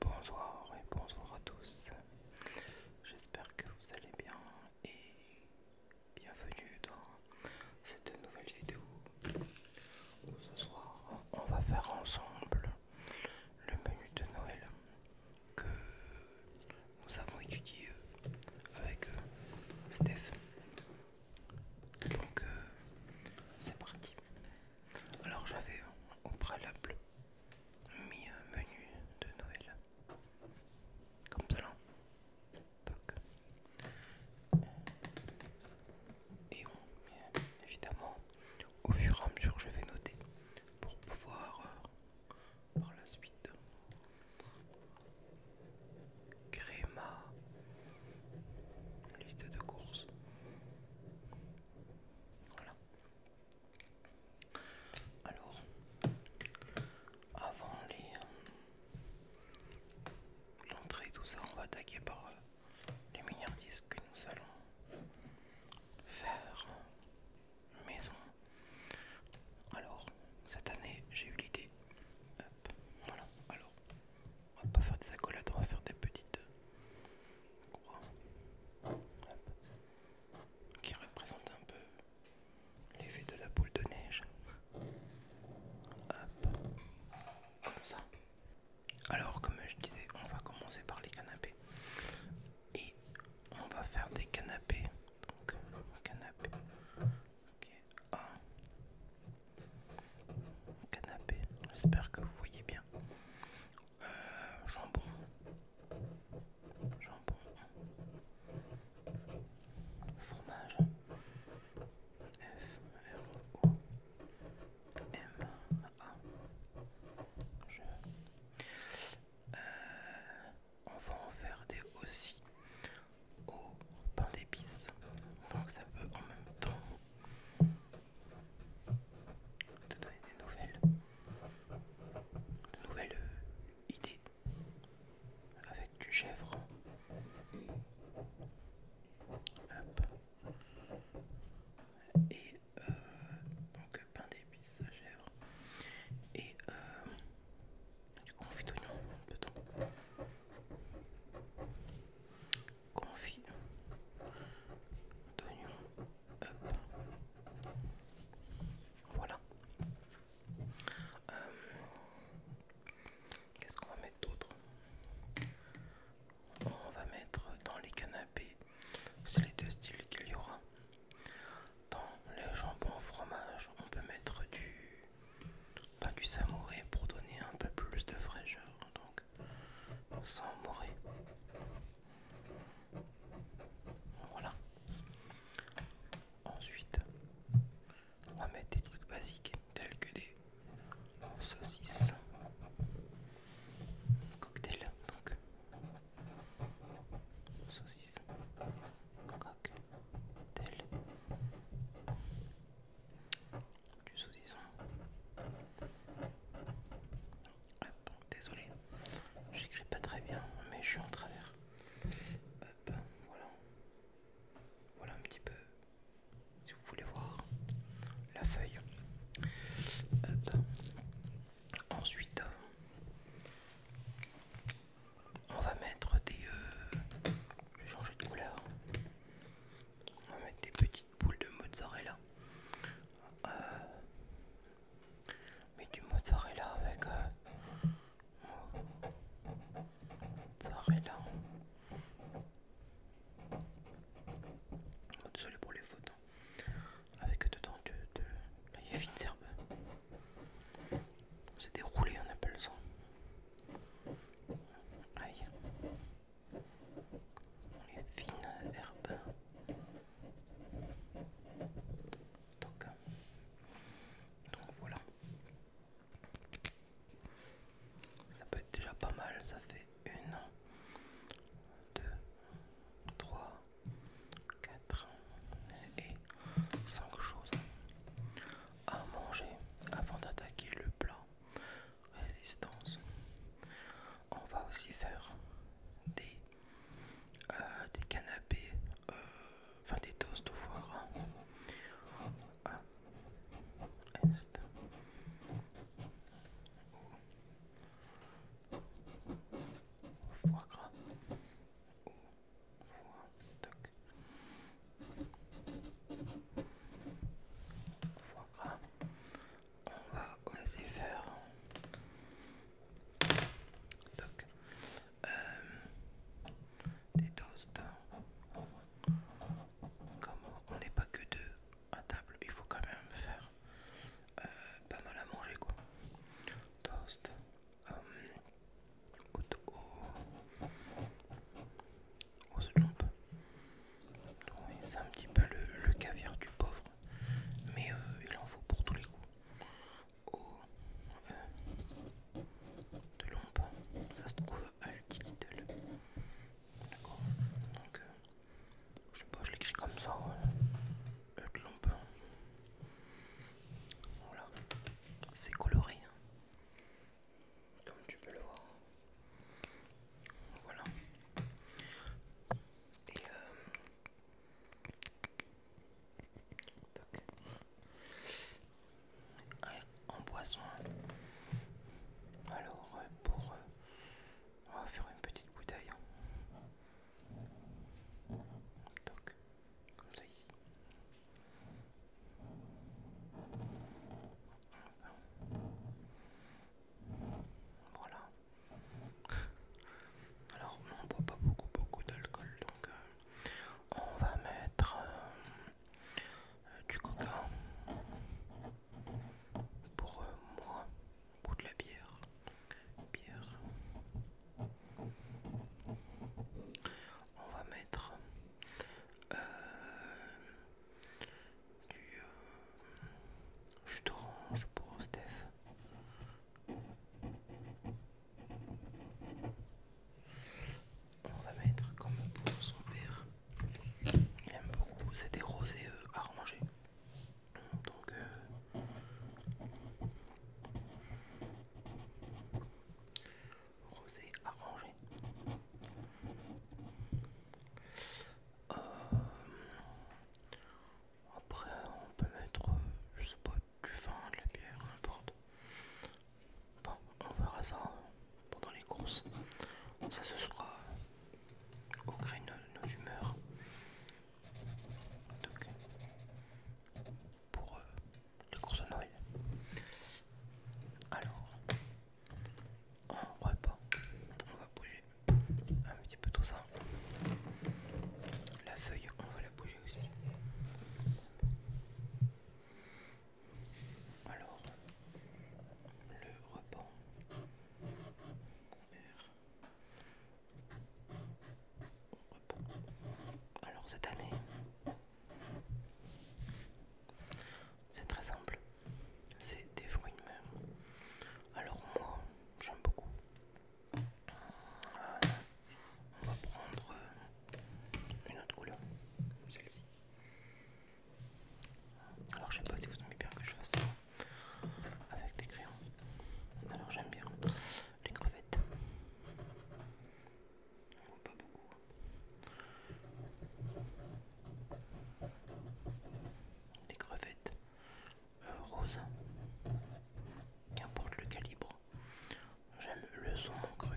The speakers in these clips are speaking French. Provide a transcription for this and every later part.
Bonsoir et bonsoir à tous. J'espère que vous allez bien et bienvenue dans cette nouvelle vidéo. Ce soir, on va faire ensemble le menu de Noël que nous avons étudié avec euh, Steph. Donc, euh, c'est parti. Alors j'avais au préalable mis un menu de Noël. Comme ça Et on, évidemment, au fur et à mesure, je vais noter pour pouvoir euh, par la suite créer ma liste de courses voilà. Alors, avant euh, l'entrée tout ça, on va attaquer par euh, les milliards disques que nous allons faire euh, maison. Alors, cette année, j'ai eu l'idée. Alors, on va pas faire de accolades, on va faire des petites euh, croix qui représentent un peu les vues de la boule de neige. Hop, comme ça. Alors, comme je disais, on va commencer par les canapés et on va faire des canapés. Donc, Canapé, j'espère que vous voyez bien. Euh, jambon. Jambon. Fromage. F, R, O, M, A. Je. Euh, on va en faire des aussi au pain d'épices. Donc ça peut en même temps te donner des nouvelles, nouvelles euh, idées avec du chèvre. Et euh, donc pain d'épices, chèvre. Et euh, du confit d'oignon confit d'oignon. Voilà. Euh, qu'est-ce qu'on va mettre d'autre On va mettre dans les canapés, c'est les deux styles qu'il y aura. Dans les jambons fromage, on peut mettre du pas du samouraï pour donner un peu plus de fraîcheur sans mourir. Voilà. Ensuite, on va mettre des trucs basiques tels que des saucisses, cocktail, donc saucisses, cocktail du sous désolé, j'écris pas très bien, mais je suis en travers. voilà. Voilà un petit peu, si vous voulez voir, la feuille. Ensuite, on va mettre des... Euh, je vais changer de couleur. On va mettre des petites boules de mozzarella. Euh, mais du mozzarella avec... Euh, mozzarella. Oh, désolé pour les fautes. Hein. Avec dedans de... de il y a une serbe. C'est déroulé, on appelle ça. Aïe les fines herbes. Donc, donc voilà. Ça peut être déjà pas mal, ça fait une, deux, trois, quatre et cinq choses à manger avant d'attaquer le plat résistance. On va aussi faire des, euh, des canapés, euh, enfin des toasts au foie gras. On va oser faire. des toasts. Comme on n'est pas que deux à table, il faut quand même faire pas mal à manger quoi. Toast. Hum os de lombe. c'est un petit peu le, caviar du pauvre, mais euh, il en faut pour tous les coups. Au, oh, euh, de l'ombre, ça se trouve à Lidl. D'accord Donc, euh, je sais pas, je l'écris comme ça. Euh, de l'ombre. Voilà. C'est coloré. Hein comme tu peux le voir. Voilà. Et euh... en boisson. Alors euh, pour... Euh, on va faire une petite bouteille. Hein. Comme ça ici. Voilà. Alors on boit pas beaucoup beaucoup d'alcool donc euh, on va mettre euh, du coca pour euh, moi ou de la bière. Bière. On va mettre du euh, pour Steph. On va mettre comme pour son père. Il aime beaucoup, c'est des rosés euh, arrangés. Donc euh, rosé arrangé. Euh, après, on peut mettre, je sais pas, du vin, de la bière, n'importe. Bon, on verra ça pendant les courses. Ça se sera au gré de nos humeurs. pour eux le course de Noël. Alors, on repas, on va bouger un petit peu tout ça. La feuille, on va la bouger aussi. Alors, le repas. Alors cette année, c'est très simple. C'est des fruits de mer. Alors moi, j'aime beaucoup. on va prendre euh, une autre couleur. Celle-ci. Alors je sais pas si vous aimez bien que je fasse ça avec des crayons. Alors j'aime bien les crevettes pas beaucoup. Hein. Les crevettes euh, roses, qu'importe le calibre. J'aime le son cru.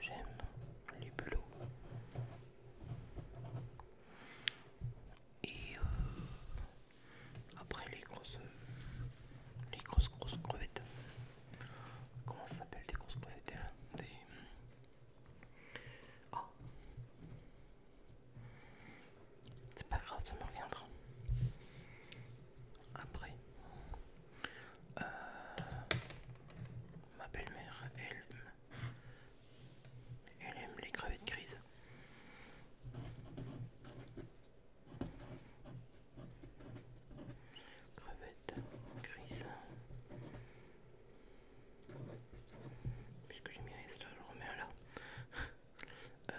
J'aime les bulots. Et euh, après les grosses, les grosses grosses crevettes. Comment ça s'appelle des grosses crevettes là Des oh. C'est pas grave, ça me reviendra. Après, euh, ma belle-mère, elle aime les crevettes grises. Crevette grise. Puisque j'ai mis là, je remets là. Euh,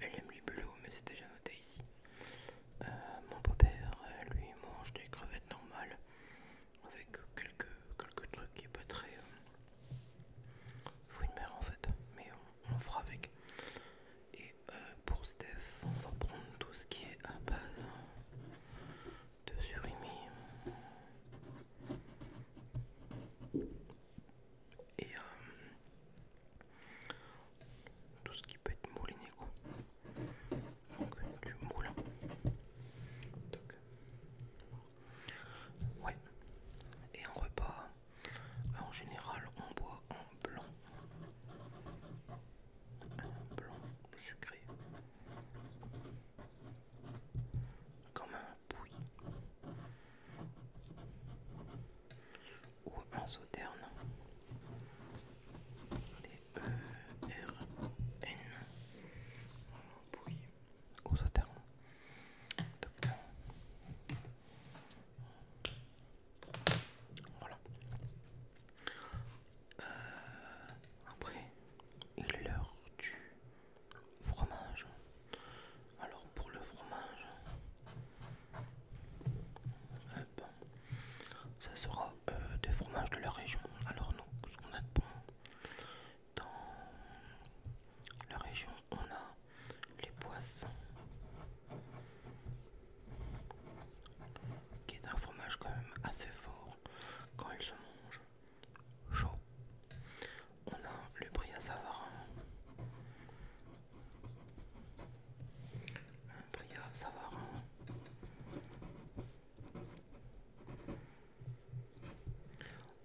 elle aime les bleus mais c'est déjà noté ici. Euh, mon beau-père, lui, mange des crevettes normales avec quelques, quelques trucs qui est pas très, euh, faut une mère en fait, mais on, fera avec. Et euh, pour Steph, on va prendre tout ce qui est à base de surimi. Et euh, tout ce qui peut être mouliné quoi. Donc du moulin. Ouais. Et en repas, euh, en général, on boit en blanc. Un blanc sucré. Comme un pouilly. Ou un sauterne. D E R N. Aux voilà. Euh, après, il est l'heure du fromage. Alors pour le fromage, euh, ça sera euh, des fromages de la région. Alors nous, ce qu'on a de bon, dans la région, on a les poissons, qui est un fromage quand même assez fort quand il se mange chaud. On a le brie à Savarin.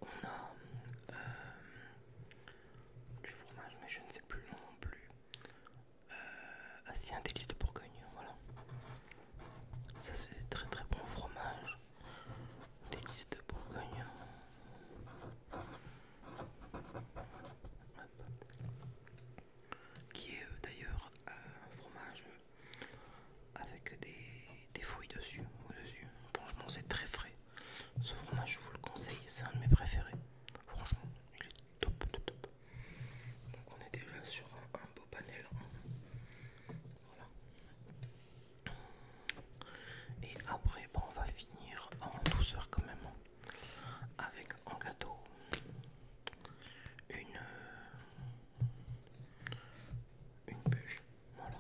On a euh, du fromage, mais je ne sais plus le nom non plus. Euh, ah si, un délice de Bourgogne, voilà. Ça c'est très très bon fromage. Délice de Bourgogne. Qui est euh, d'ailleurs un fromage avec des, fruits dessus, dessus. Franchement, c'est très frais. Ce fromage, je vous le conseille, c'est un de mes préférés. Franchement, il est top, top, Donc, on est déjà sur un, beau panel. Voilà. Et après, on va finir en douceur quand même avec un gâteau une, une bûche. Voilà,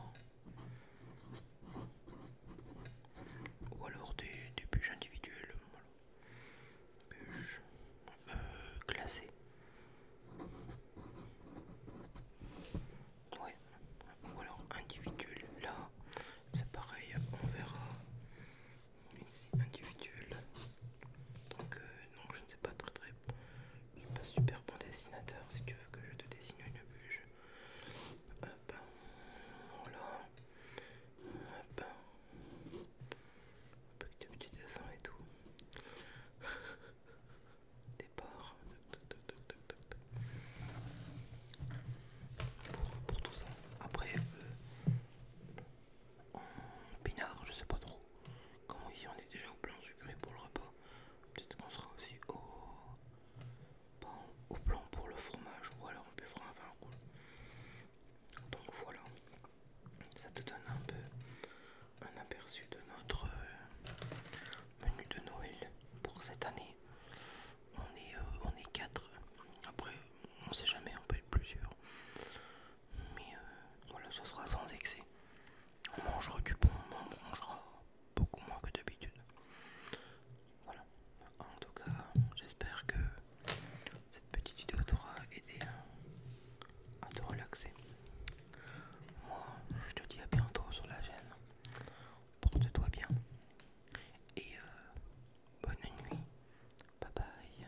ou alors des, bûches individuelles bûches classées euh, ou alors individuelles là c'est pareil on verra ici individuel donc, euh, je ne sais pas très très pas super bon dessinateur. Si tu veux que je te dessine une bûche, hop, voilà, hop, un peu petits dessins et tout. Départ pour, tout ça. Après, euh, pinard, je sais pas trop. Comme ici on est déjà au plan sucré pour le repas Peut-être qu'on sera aussi au... au plan pour le fromage ou alors on faire un vin rouge. Donc voilà, ça te donne un peu un aperçu de notre euh, menu de Noël pour cette année. Euh, on est, quatre. Après, on sait jamais, on peut être plusieurs. Mais euh, voilà, ce sera sans excès on mangera du bon, on mangera beaucoup moins que d'habitude. Voilà, en tout cas, j'espère que cette petite vidéo t'aura aidé à te relaxer. Moi, je te dis à bientôt sur la chaîne. Porte-toi bien et euh, bonne nuit. Bye bye.